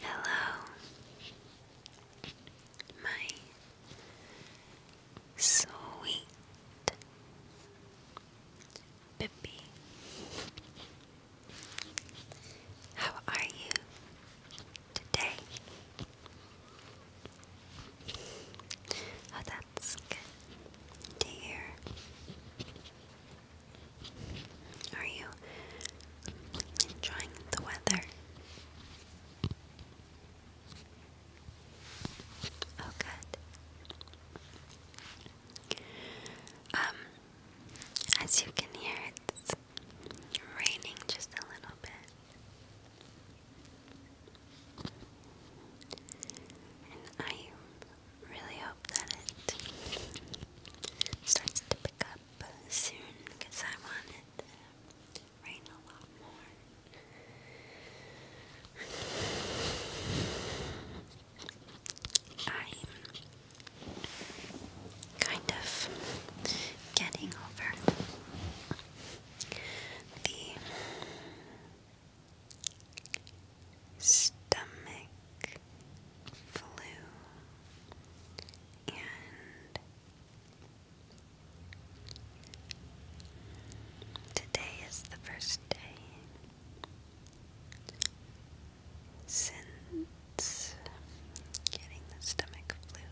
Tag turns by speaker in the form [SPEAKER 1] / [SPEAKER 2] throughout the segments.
[SPEAKER 1] Hello, my sweet Bippy. How are you today? Oh, that's good to are you enjoying the weather? Oh, good. Um, as you can hear, it's raining just a little bit. And I am really hope that it starts to pick up soon because I want it rain a lot more. I'm kind of getting over the stomach flu and today is the first day since getting the stomach flu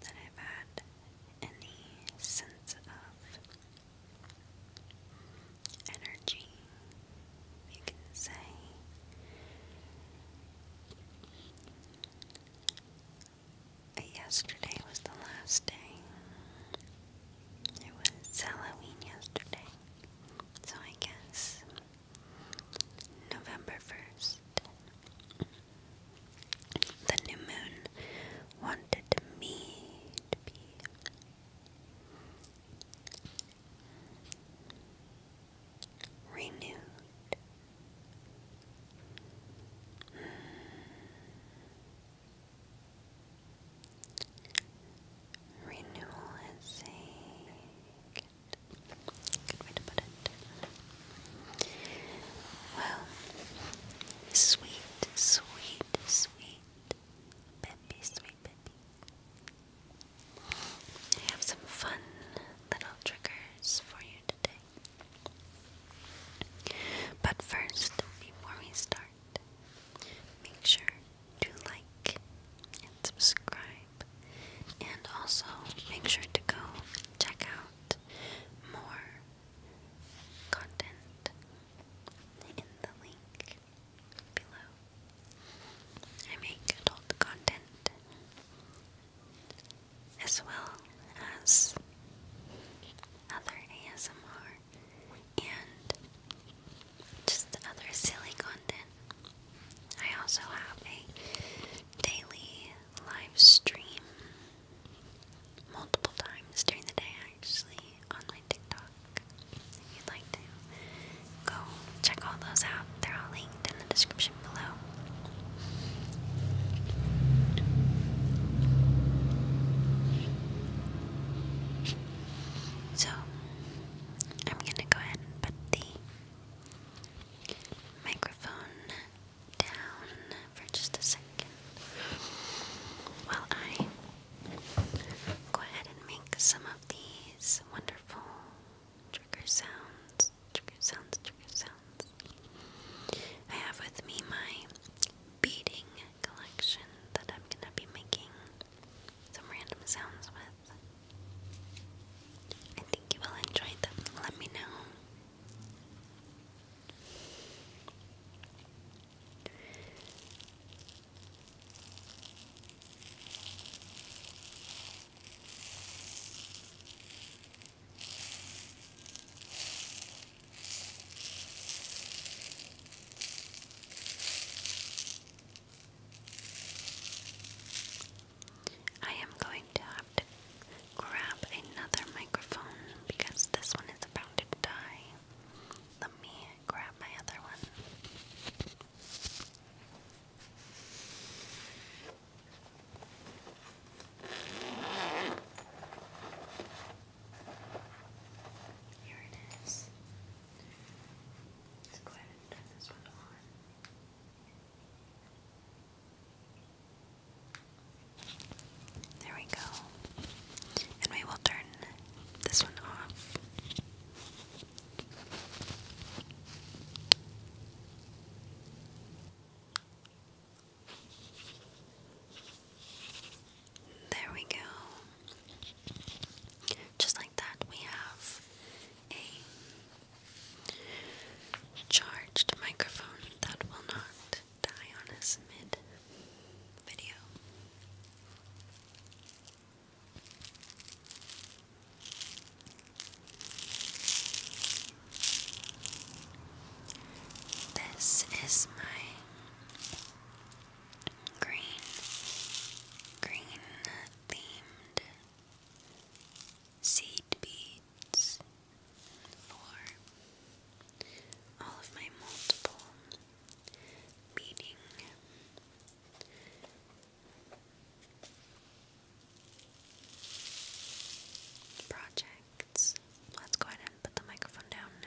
[SPEAKER 1] that I've had any sense of energy, you can say. Yesterday was the last day. It was Halloween yesterday. So I guess November 1st, the new moon wanted me to be renewed. Renewal is a good, good way Well, sweet, sweet, sweet, Peppy, sweet Peppy. I have some fun little triggers for you today. But first, before we start, make sure to like and subscribe, and also make sure to go check out more content in the link below. I make adult content as well as other ASMR and just other silly content. I also have a daily live stream multiple times during the day actually on my TikTok. If you'd like to go check all those out, they're all linked in the description below. So, I'm gonna go ahead and put the microphone down for just a second while I Go ahead and make some of these wonderful trigger sounds. Trigger sounds, trigger sounds. I have with me my beading collection that I'm gonna be making some random sounds with. I think you will enjoy them. Let me know. I am going to have to grab another microphone because this one is about to die. Sorry. Let me grab my other one. Here it is. Let's go ahead and turn this one on. There we go. And we will turn this one off. There we go. Just like that, we have a charged microphone that will not Diana's mid video. This is my green, green themed seed beads for all of my multiple meeting projects. Let's go ahead and put the microphone down now.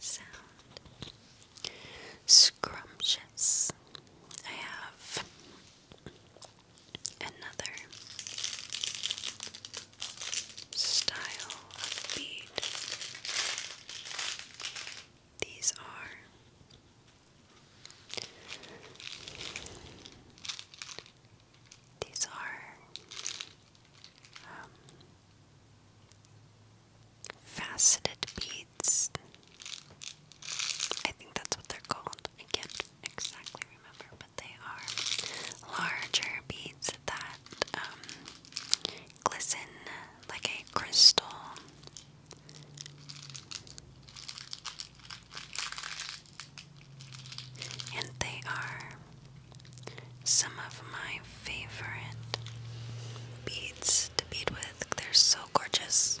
[SPEAKER 1] Sound scrumptious. I have another style of bead. These are these are um, faceted beads. I think that's what they're called. I exactly remember, but they are larger beads that um, glisten like a crystal. And they are some of my favorite beads to bead with. They're so gorgeous.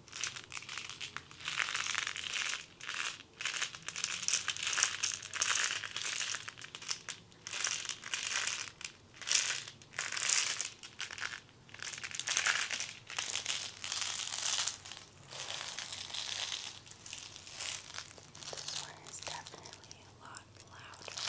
[SPEAKER 1] This one is definitely a lot louder.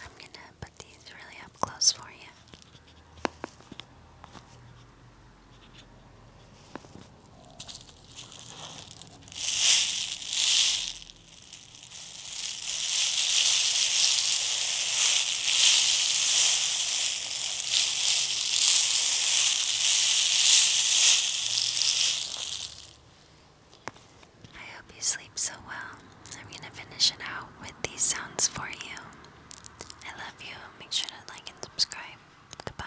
[SPEAKER 1] I'm gonna put these really close I hope you sleep so well. I'm going to finish it out with these sounds for you. I love you. Make sure to like and subscribe. Goodbye.